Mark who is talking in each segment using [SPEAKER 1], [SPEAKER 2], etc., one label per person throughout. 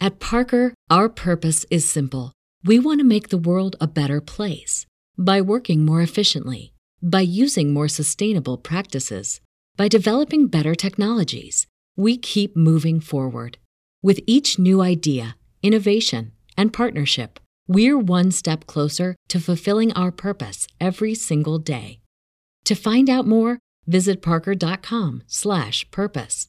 [SPEAKER 1] At Parker, our purpose is simple. We want to make the world a better place by working more efficiently, by using more sustainable practices, by developing better technologies. We keep moving forward. With each new idea, innovation, and partnership, we're one step closer to fulfilling our purpose every single day. To find out more, visit parker.com/purpose.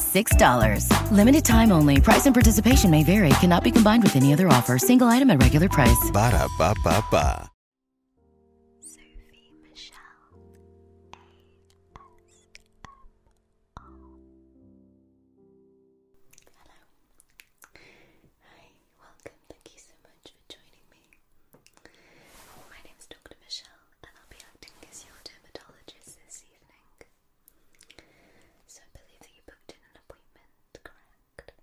[SPEAKER 2] $6. Limited time only. Price and participation may vary. Cannot be combined with any other offer. Single item at regular price.
[SPEAKER 1] Ba da ba Sophie Michelle ASMR.
[SPEAKER 2] Hello. Hi. Welcome. Thank you so much for joining me. My name is Dr. Michelle, and I'll be acting as your dermatologist this evening. So I believe that you booked in an appointment, correct? Great.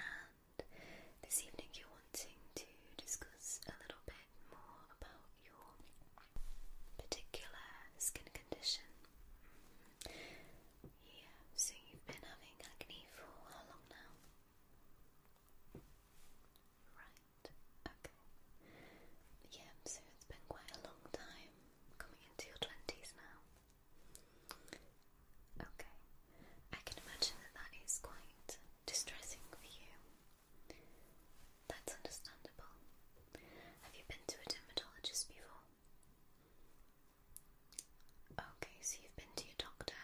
[SPEAKER 2] And this evening you're wanting to discuss a little bit more about your particular skin condition. Mm-hmm. Yeah, so you've been having acne for how long now? Right, okay. Yeah, so it's been quite a long time coming into your 20s now. Okay, I can imagine that that is quite distressing for you. That's understandable. Have you been to a dermatologist before? Okay, so you've been to your doctor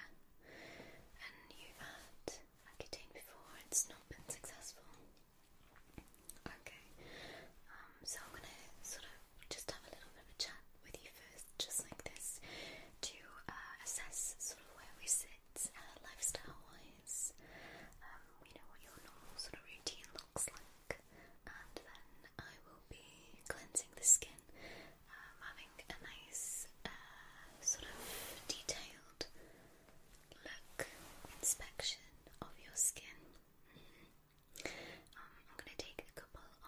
[SPEAKER 2] and you've had Accutane before, it's not been successful. Okay, um, so I'm gonna sort of just have a little bit of a chat with you first, just like this, to uh, assess sort of where we sit uh, lifestyle wise, um, know, what your normal sort of routine looks like, and then I will be cleansing the skin, um, having a nice uh, sort of detailed look inspection of your skin. Mm-hmm. Um, I'm going to take a couple of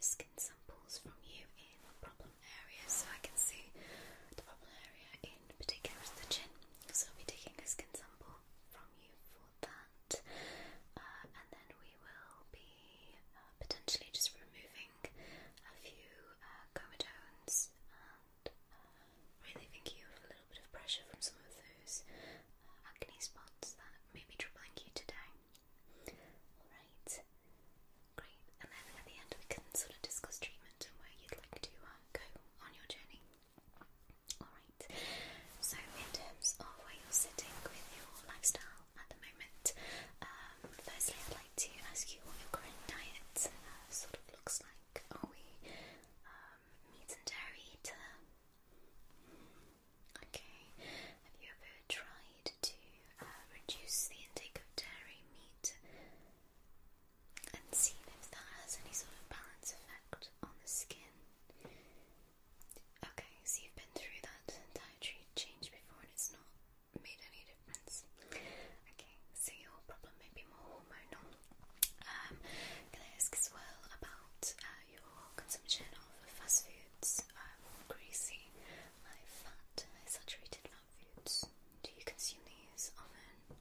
[SPEAKER 2] skin samples from you in the problem area, so I can see the problem area in particular is the chin. So I'll be taking a skin sample from you for that, uh, and then we will be uh, potentially just removing a few uh, comedones um, and uh, really thinking a little bit of pressure from some of those uh, acne spots that may be you today. Alright, great. And then at the end, we can sort of discuss treatment and where you'd like to uh, go on your journey. Alright, so in terms of where you're sitting with your lifestyle at the moment, um, firstly, I'd like to ask you what your current diet uh, sort of looks like like are we um, meat and dairy eater? Okay. Have you ever tried to uh, reduce the intake of dairy meat and seen if that has any sort of balance effect on the skin? Okay, so you've been through that dietary change before and it's not made any difference. Okay, so your problem may be more hormonal. Um, can I ask as well about uh, your consumption of fast foods, um, greasy, high fat, saturated fat foods? Do you consume these often?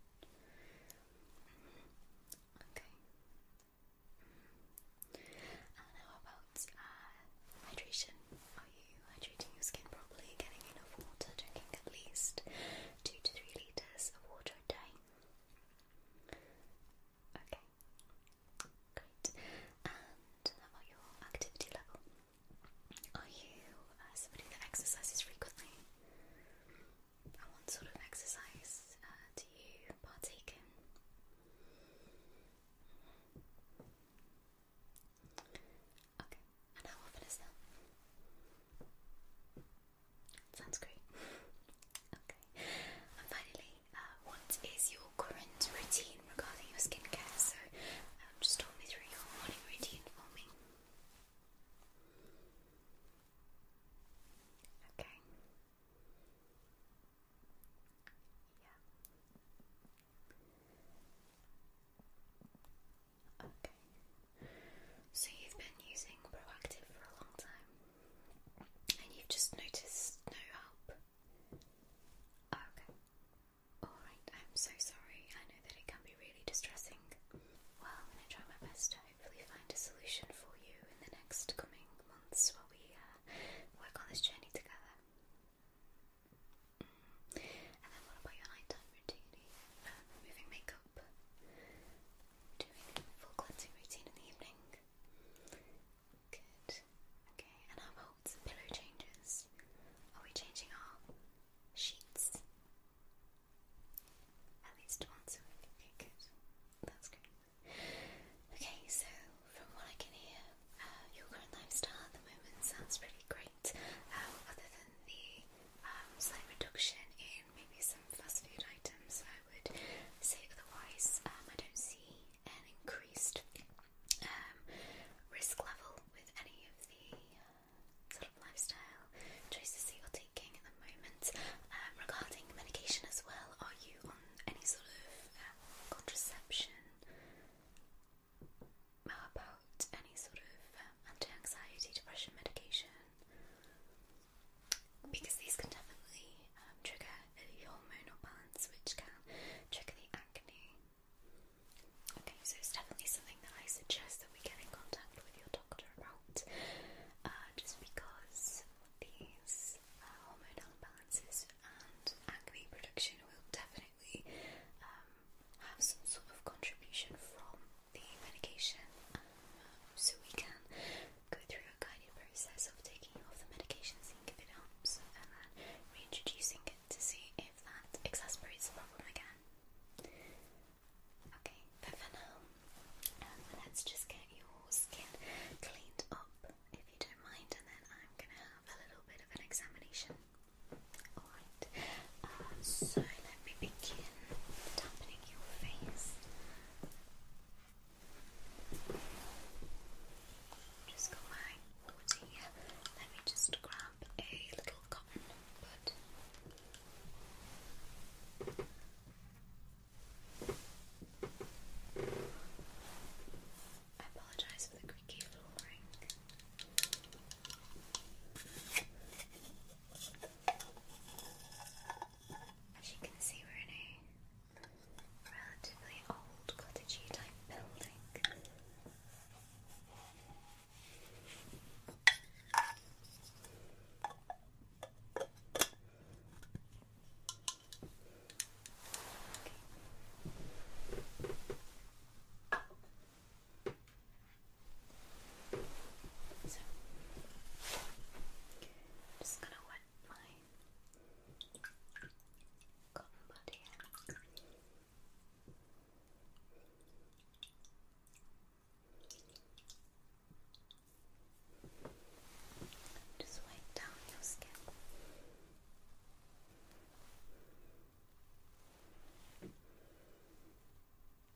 [SPEAKER 2] Okay. Mm-hmm. And how about uh, hydration? Are you hydrating your skin properly, getting enough water, drinking at least two to three litres of water a day. Okay, great. And about your activity level? Are you uh, somebody that exercises frequently? And what sort of exercise uh, do you partake in? Okay, and how often is that? Sounds great. okay. And finally, uh, what is your current routine regarding your skincare? So, um, just talk me through your morning routine for me. Okay. Yeah. Okay. So you've been using Proactive for a long time and you've just noticed no help? Okay. Alright, I'm so sorry. I know that it can be really distressing. Well, I'm going to try my best to hopefully find a solution for you in the next coming months while we uh, work on this journey together. Mm. And then what about your nighttime routine? removing uh, makeup? up, doing full cleansing routine in the evening. Good. Okay, and how about pillow changes? Are we changing our sheets? At least once a week. good. That's good. Okay, so from what I can hear, uh, your current lifestyle at the moment sounds pretty great, um, other than the um, slight reduction in maybe some fast food items, I would say otherwise um, I don't see an increased um, risk level with any of the uh, sort of lifestyle choices that you're taking at the moment. regarding medication as well, are you on any sort of contraception? about any sort of anxiety depression medication because these can definitely um, trigger a hormonal balance which can trigger the acne. Okay, so it's definitely something that I suggest that we get in contact with your doctor about uh, just because these uh, hormonal imbalances and acne production will definitely um, have some sort of contribution from the medication um, so we can go through a guided process of taking off the medication, seeing if it helps, and then reintroducing it to see if that exacerbates the problem again. Okay, but for now, um, let's just get your skin cleaned up if you don't mind, and then I'm gonna have a little bit of an examination. Alright, so let me begin dampening your face. Just go my body Let me just grab a little cotton bud. I apologize for the creaky flooring. As you can see, we're in a relatively old cottagey type building. So, i just gonna wet my cotton Just wipe down your skin.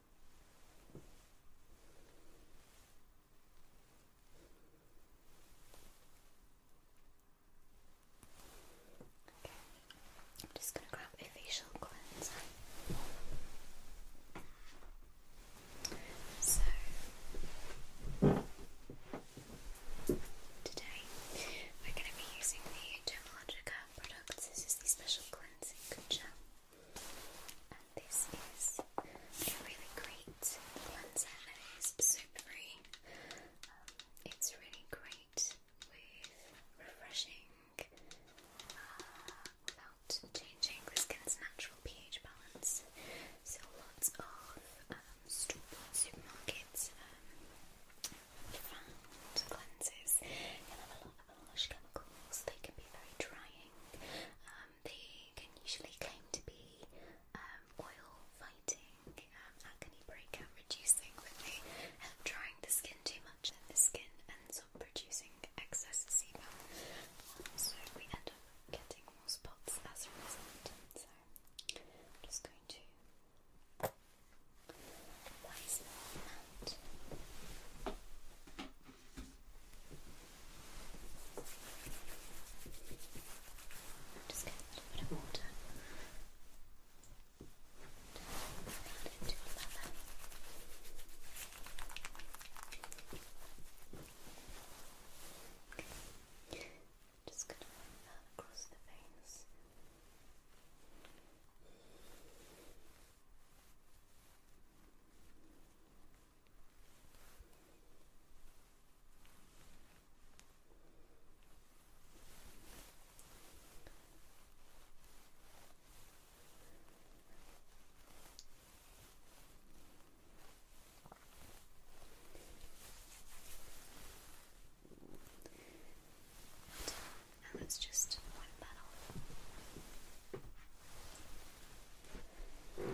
[SPEAKER 2] Okay, I'm just going to grab a facial cleanser. So, today we're going to be using the Dermalogica products. This is the special cleansing gel. And this is a really great cleanser that is super free. Um, it's really great with refreshing uh, without changing the skin's natural pH balance. So lots of um, supermarkets um, cleansers. you harsh chemicals, they can be very drying. Um, they can usually claim to be um, oil fighting, um, acne breakout reducing, but they help drying the skin too much, and the skin ends up producing excess sebum. So we end up getting more spots as a result. So I'm just going to apply some of that. Just get a little bit of water. into your mother. Okay. Just gonna run that across the veins. Now it's just one petal. And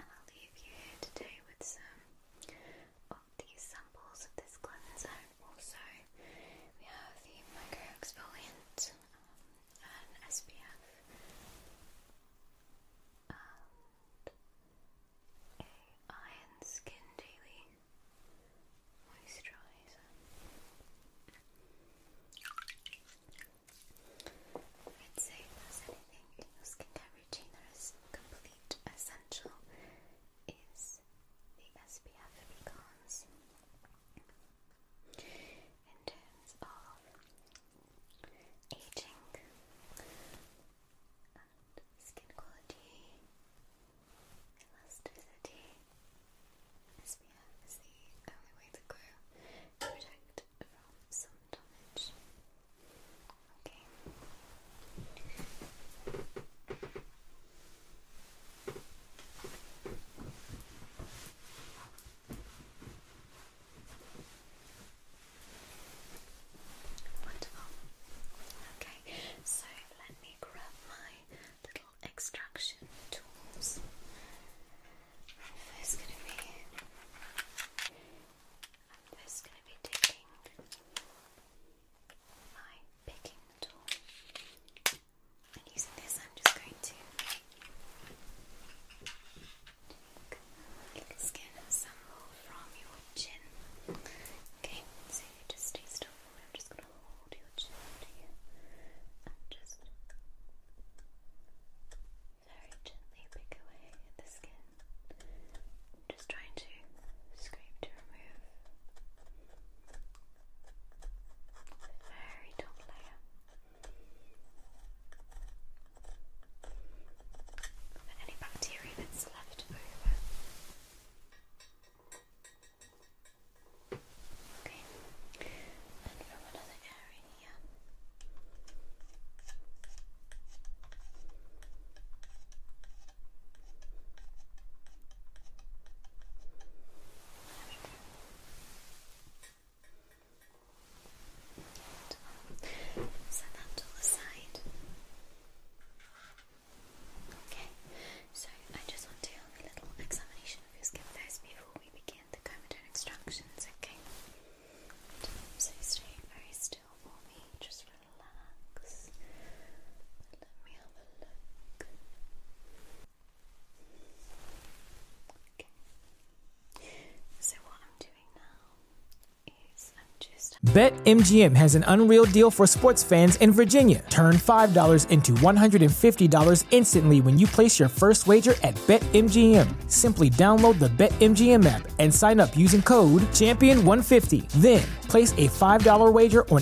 [SPEAKER 2] I'll leave you here today with some of these samples of this cleanser also we have the micro exfoliant um, and SPF and a Iron Skin Daily Moisturizer. I'd say if there's anything in your skincare routine that is complete essential is the SPF because in terms of aging skin quality, elasticity, SPF is the only way to protect from sun damage. Okay. Wonderful. Okay, so let me grab my little extraction tools. first going to be. I'm first going to be taking my picking tool. And using this, I'm just going to take the skin of from your chin. Okay, so just stay still I'm just going to hold your chin to and just very gently pick away the skin. I'm just trying to scrape to remove very top layer. And any bacteria that's left over. Okay, and from another area Set that to the Okay, so I just want to do a little examination of your skin first before we begin the comatose extractions, okay? So stay very still for me, just relax. Let me have a look.
[SPEAKER 3] Bet MGM has an unreal deal for sports fans in Virginia. Turn $5 into $150 instantly when you place your first wager at Bet MGM. Simply download the Bet MGM app and sign up using code Champion150. Then place a $5 wager on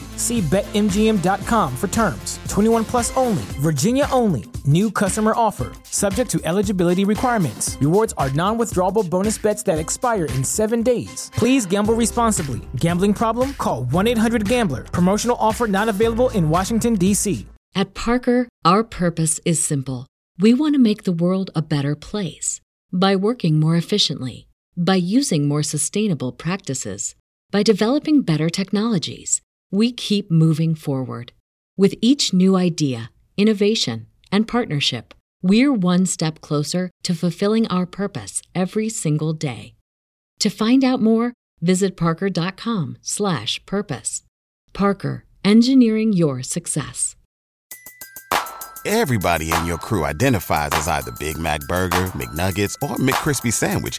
[SPEAKER 3] only. See betmgm.com for terms. 21 plus only. Virginia only. New customer offer. Subject to eligibility requirements. Rewards are non withdrawable bonus bets that expire in seven days. Please gamble responsibly. Gambling problem? Call 1 800 Gambler. Promotional offer not available in Washington, D.C. At Parker,
[SPEAKER 1] our purpose is simple. We want to make the world a better place by working more efficiently by using more sustainable practices, by developing better technologies, we keep moving forward. With each new idea, innovation, and partnership, we're one step closer to fulfilling our purpose every single day. To find out more, visit parker.com/purpose. Parker, engineering your success. Everybody in your crew identifies as either Big Mac burger, McNuggets, or McCrispy sandwich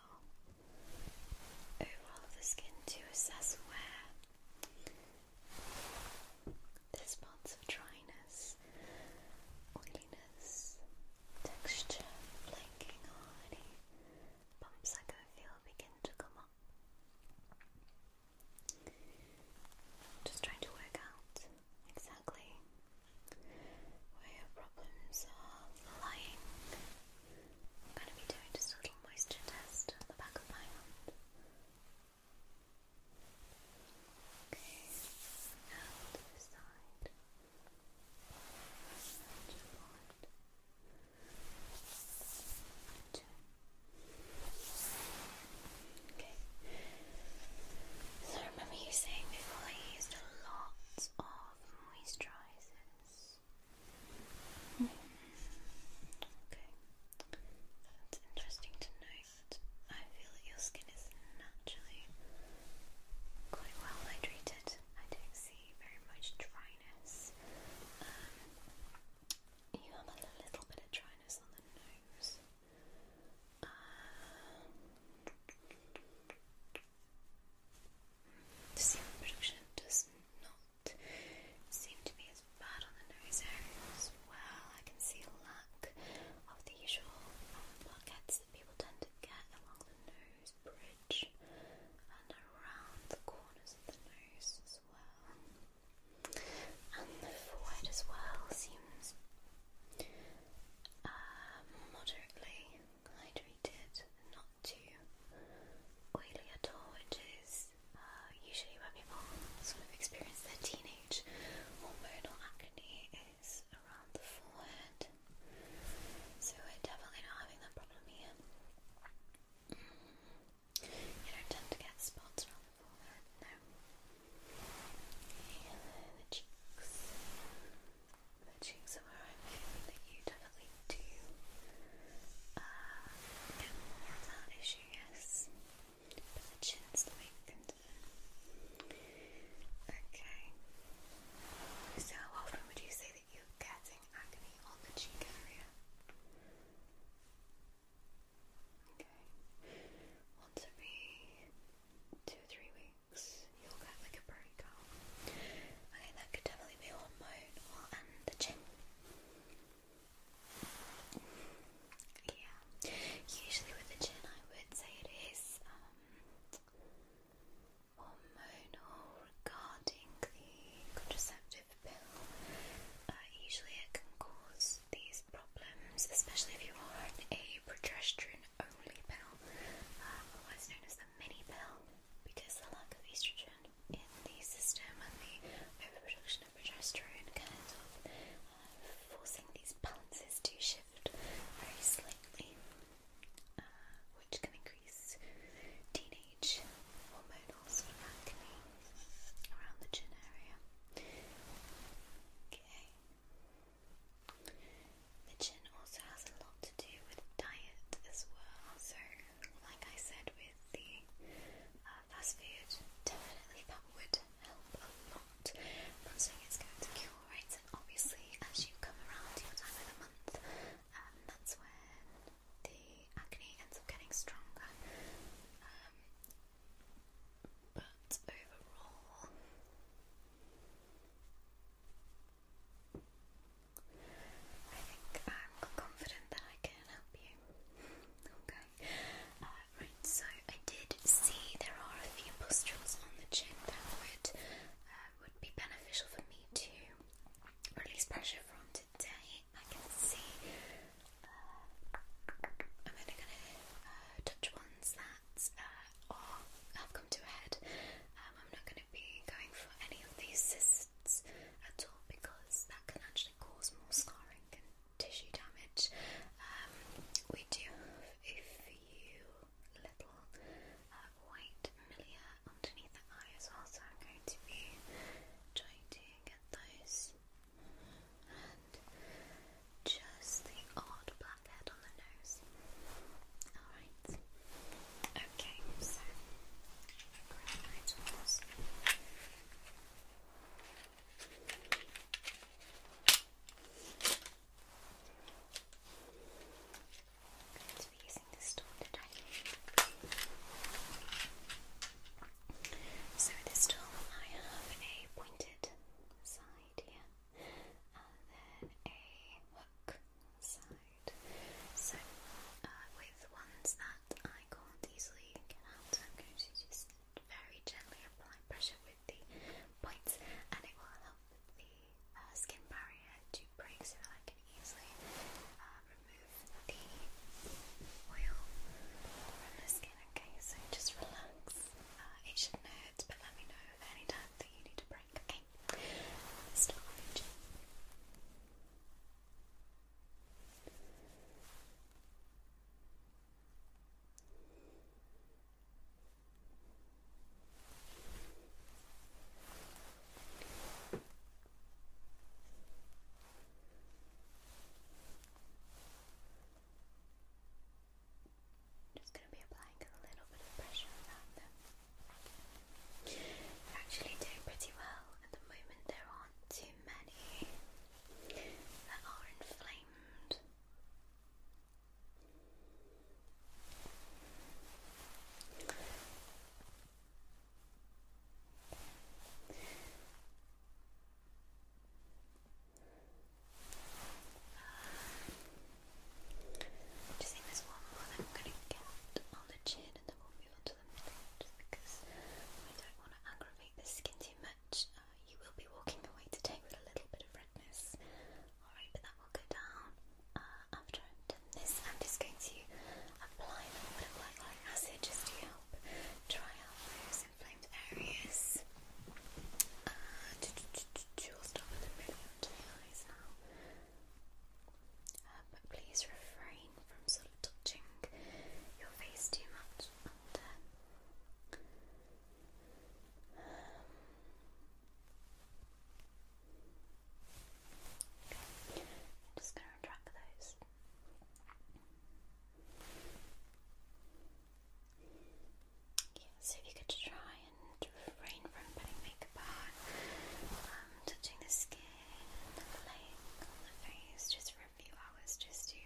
[SPEAKER 1] overall of the skin to assess
[SPEAKER 2] where there's spots of dryness, oiliness, texture, flaking, or any bumps I can feel begin to come up. Just trying to work out exactly where your problems are lying. I'm going to be doing just a little moisture test on the back of my hand. Okay, now to the side. Okay. So remember you saying before I used a lot of moisturizers.
[SPEAKER 1] Okay, that's interesting to
[SPEAKER 2] note. I feel that your skin is naturally quite well hydrated. I don't see very much dryness. Um, you have a little bit of dryness on the nose. Um, the serum production does not seem to be as bad on the nose area as well. I can see a lack of the usual um, pockets that people tend to get along the nose bridge and around the corners of the nose as well. And the forehead as well seems uh, moderately hydrated, not too oily at all, which is uh, usually where people sort of experience their teenage hormonal acne is around the forehead. So we're definitely not having that problem here. You don't tend to get spots around the forehead, no. And the cheeks. Matching somewhere I'm feeling that you definitely do uh, that issue, yes. the chin's the Okay. So how often would you say that you're getting acne on the cheek area? Okay. Want to two three weeks you'll get like a brown Okay, that could definitely be one bone and the chin. Yeah. Usually with the chin I would say it is hormonal um, regarding the contraceptive pill. Uh, usually it can cause these problems, especially if you are on a progesterone only pill, um, known as the mini pill because the lack of estrogen in the system and the overproduction of progesterone kind of uh, forcing these balances to shift very slightly, uh, which can increase teenage hormonal sort of acne around the chin area. Okay. The chin also has a lot to do with diet as well, so like I said with the uh, fast food, definitely that would help a lot. I'm not saying it's going to cure it, and obviously as you come around your time of the month, um, that's when the acne ends up getting stronger. Um, but overall, I think I'm confident that I can help you. okay. Uh, right, so I did see there are a few pustules on the chin that would, uh, would be beneficial for me to release pressure from today. I can see. Uh, I'm only going to touch ones that are, have come to a head. Um, I'm not going going to be going for any of these cysts at all because that can actually cause more scarring and tissue damage. Um, we do have a few little uh, white milia underneath the eye as well, so I'm going to be trying to those. And just the odd blackhead on the nose. Alright. Okay, so grab my tools. i using this tool So this tool I have a pointed side here then a hook side. So, uh, with ones that I can't easily get out, I'm going to just very gently apply pressure with the points, and it will help the uh, skin barrier to break so I can easily uh, remove the oil from the skin. Okay, so just relax. Uh, it shouldn't hurt, but let me know any time that you need a break. Okay, start just going to be applying a little bit of pressure around them. They're actually doing pretty well at the moment. There aren't too many that are inflamed. just think there's one more I'm going to get on the chin and then we'll move on to something just because I don't want to aggravate the skin too much. you will be walking away today with a little bit of redness. Alright, but that will go down after I've done this. I'm just going to apply a little bit of light acid just to help dry out those inflamed areas. Uh, will start with a bit of the eyes now. Uh, but please refrain from sort of touching your face too much. I'm uh, um, just going to retract those. Yeah, so if you could try and refrain from putting makeup on, um, touching the skin, like on the face just for a few hours just to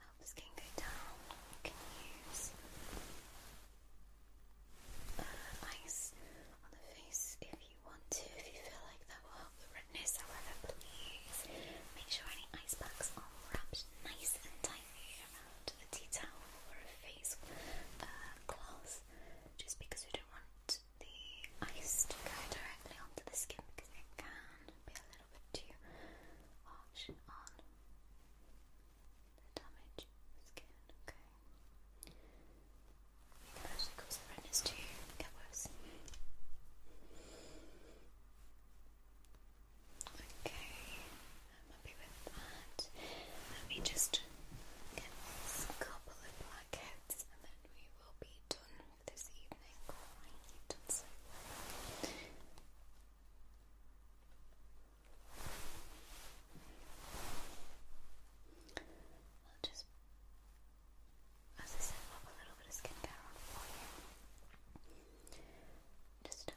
[SPEAKER 2] help the skin go down. You can use uh, ice on the face if you want to, if you feel like that will help the redness. However, please make sure any ice packs are wrapped nice and tightly around a tea towel or a face uh, cloth just because you don't want the ice to go directly onto the skin because it can be a little bit too harsh on the damaged skin. Okay. It can actually cause the redness to get worse. Okay, I'm happy with that. Let me just get this couple of blackheads we will be done for this evening. I'll just, as I said, pop a little bit of skincare on for you. Just um,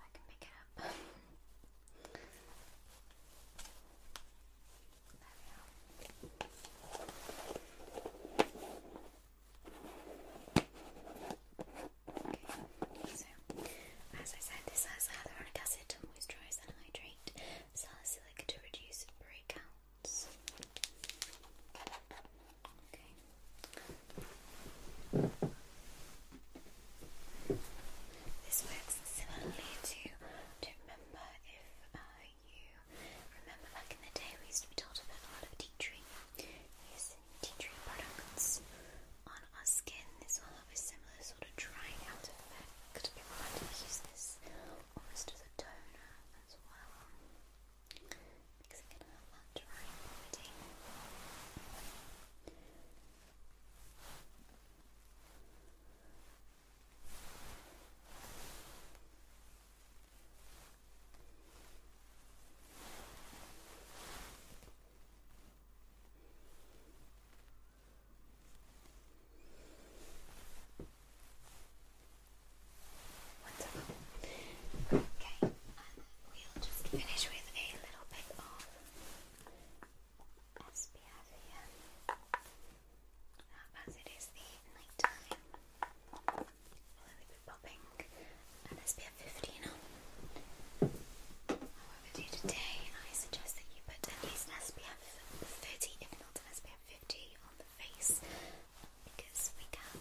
[SPEAKER 2] I can pick it up. there we are. Okay, so as I said, this has hyaluronic acid to moisturise and hydrate, salicylic to reduce breakouts. This works similarly to, to remember if uh, you remember back in the day we used to be told about a lot of tea tree, using tea tree products on our skin. This will have a similar sort of drying out effect. People like to use this almost as a toner as well. Because it can have that drying property. Wonderful. Okay, and um, we'll just finish with a little bit of SPF here. Uh, as it is the night time, I'll only be popping an SPF 15 on. However, do today, I suggest that you put at least an SPF 30, if not an SPF 50, on the face because we can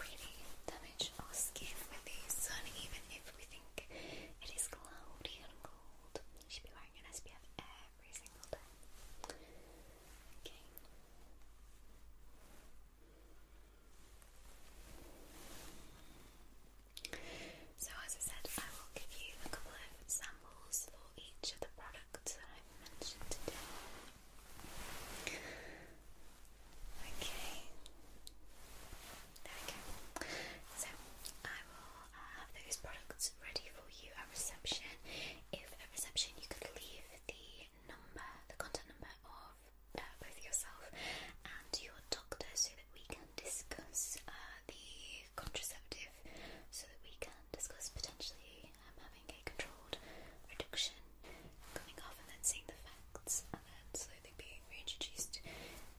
[SPEAKER 2] really damage our skin with these sun, even if we think. It is cloudy and cold. You should be wearing an SPF every single day. Okay. So as I said, I will give you a couple of samples for each of the products that I've mentioned today. Okay. There we go. So I will have those products ready for you at reception. If at reception you could leave the number, the contact number of uh, both yourself and your doctor, so that we can discuss uh, the contraceptive, so that we can discuss potentially um, having a controlled reduction coming off then seeing the facts and then slowly being reintroduced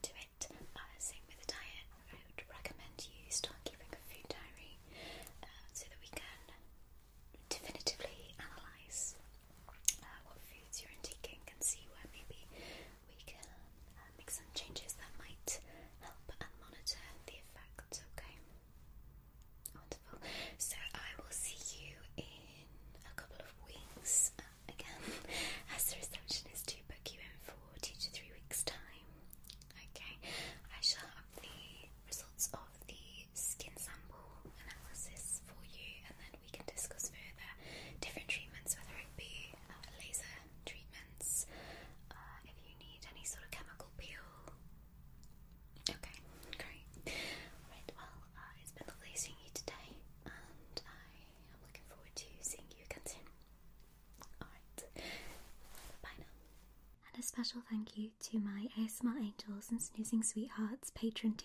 [SPEAKER 2] to it. Uh, same with the diet. I would recommend you start keeping a food diary uh, so that we can definitively analyse uh, what foods you're intaking and see where maybe we can uh, make some changes that might help and monitor the effects. Okay. Wonderful. So I will see you in a couple of weeks. Um, again as the receptionist to book you in for two to three weeks' time. Okay, I shall have the results of the skin sample analysis for you, and then we can discuss further different treatments, whether it be uh, laser treatments, uh, if you need any sort of chemical peel. Okay, great. Right, well, uh, it's been lovely you today, and I I'm looking forward to seeing you again soon. Alright, bye now. And a special thank you to my ASMR Angels and Snoozing Sweethearts patron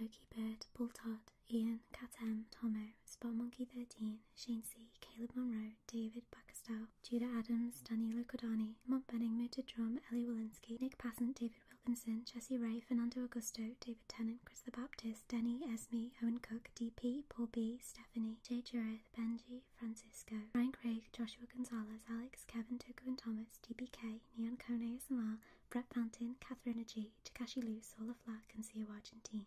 [SPEAKER 2] Loki Bird, Bull Todd, Ian, Cat M, Tomo, Spot Monkey 13, Shane C, Caleb Monroe, David Backestow, Judah Adams, Daniela Codani, Mont Benning, Muted Drum, Ellie Walensky, Nick Passant, David Wilkinson, Jessie Ray, Fernando Augusto, David Chris the Baptist, Denny, Esme, Owen Cook, DP, Paul B, Stephanie, Jay Jurith, Benji, Francisco, Ryan Craig, Joshua Gonzalez, Alex, Kevin, Tuku and Thomas, DBK, Neon Cone ASMR, Brett Fountain, Catherine G, Takashi Lu, Sola Flack, and Sia Argentine.